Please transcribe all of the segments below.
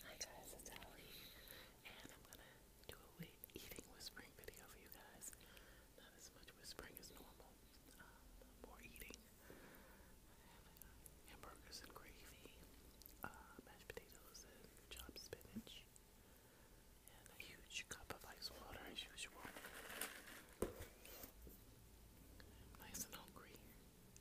Hi guys, it's Allie, and I'm gonna do a eating whispering video for you guys. Not as much whispering as normal, um, more eating. I have uh, hamburgers and gravy, uh, mashed potatoes chopped spinach, and a huge cup of ice water as usual. nice and hungry.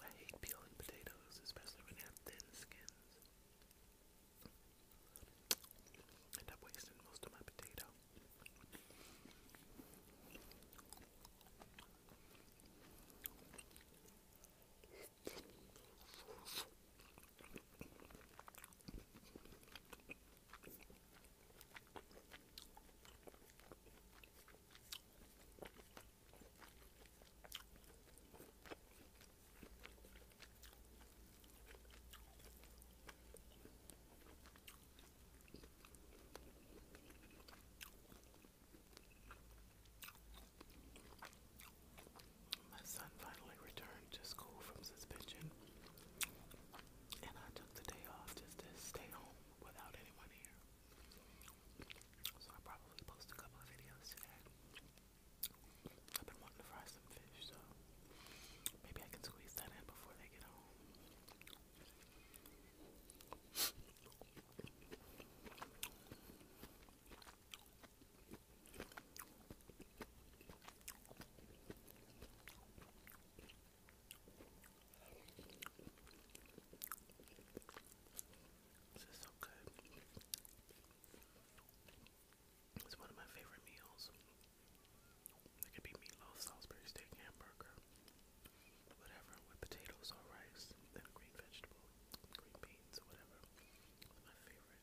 I hate peeling potatoes, especially when they have thin skins. end up wasting most of my potato. My son finally returned to school from suspension, and I took the day off just to stay home without anyone here. So i probably post a couple of videos today. I've been wanting to fry some fish, so maybe I can squeeze that in before they get home. This is so good. It's one of my favorite meals. It could be meatloaf, Salisbury steak, hamburger, whatever, with potatoes or rice, and a green vegetable, green beans whatever. my favorite.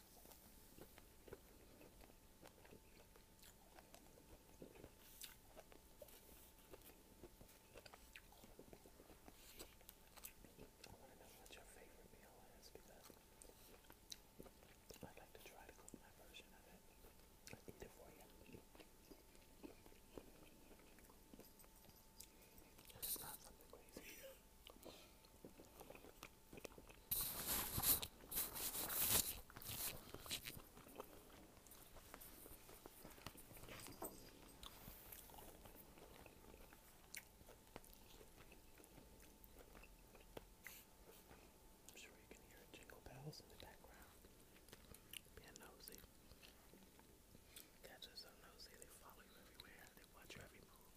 I want to know what your favorite meal is because I'd like to try to cook my version of it and eat it for you. It's not something crazy. I'm sure you can hear jingle bells in the background. Being nosy. Cats are so nosy, they follow you everywhere, they watch every move.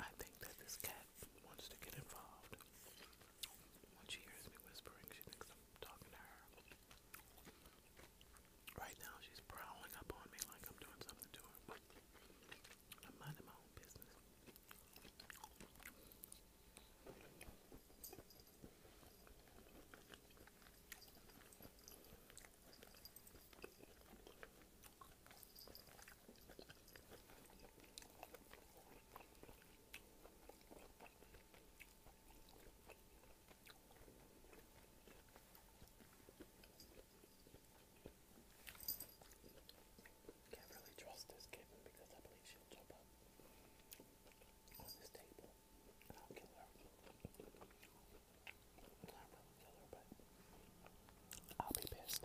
I think that this cat wants to get involved. When she hears me whispering, she thinks I'm talking to her. Right now, she's prowling up on me like I'm doing something to her. I'm minding my own business. Can't really trust this kitten because I believe she'll jump up on this table not killer, not really killer, but I'll be pissed.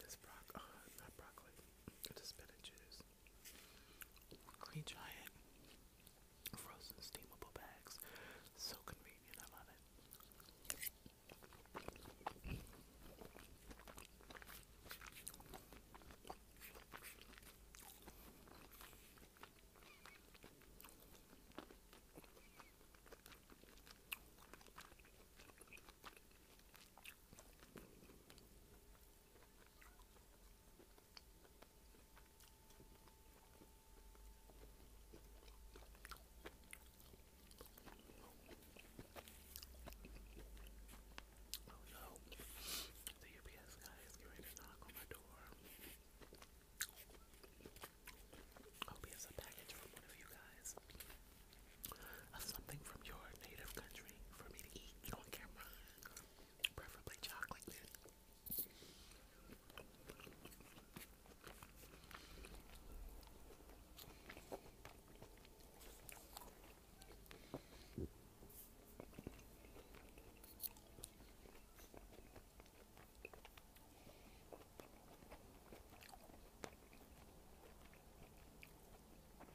This broc uh, not broccoli, the spinach is green giant frozen steamable bags. So convenient, I love it. Oh the UPS guy is ready to knock on my door. I a package from one of you guys of something from your native country for me to eat on camera, preferably chocolate.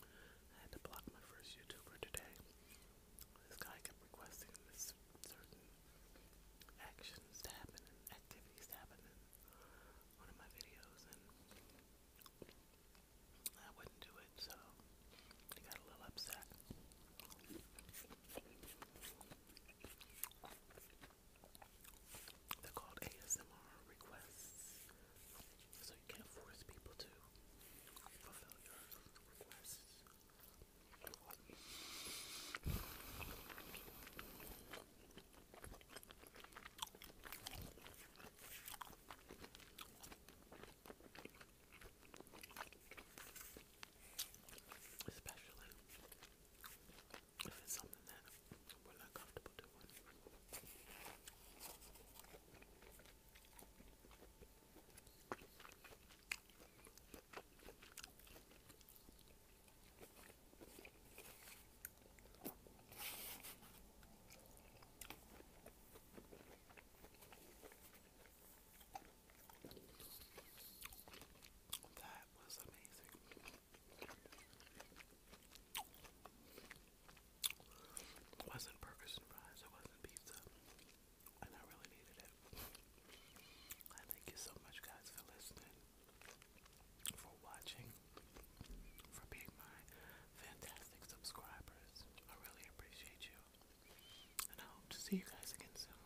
I had to block my first YouTuber today. This guy kept requesting certain actions happen activities happen in one of my videos, and I wouldn't do it, so he got a little upset. They're called ASMR requests. So you can't force people to fulfill your requests. Especially if it's something that we're not comfortable doing. That was amazing. It wasn't burgers and fries, it wasn't pizza. And I really needed it. thank you so much, guys, for listening, for watching, for being my fantastic subscribers. I really appreciate you. And I hope to see you guys again soon.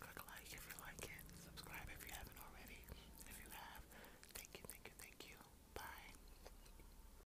Click like if you like it, subscribe if you haven't already. If you have, thank you, thank you, thank you. Bye.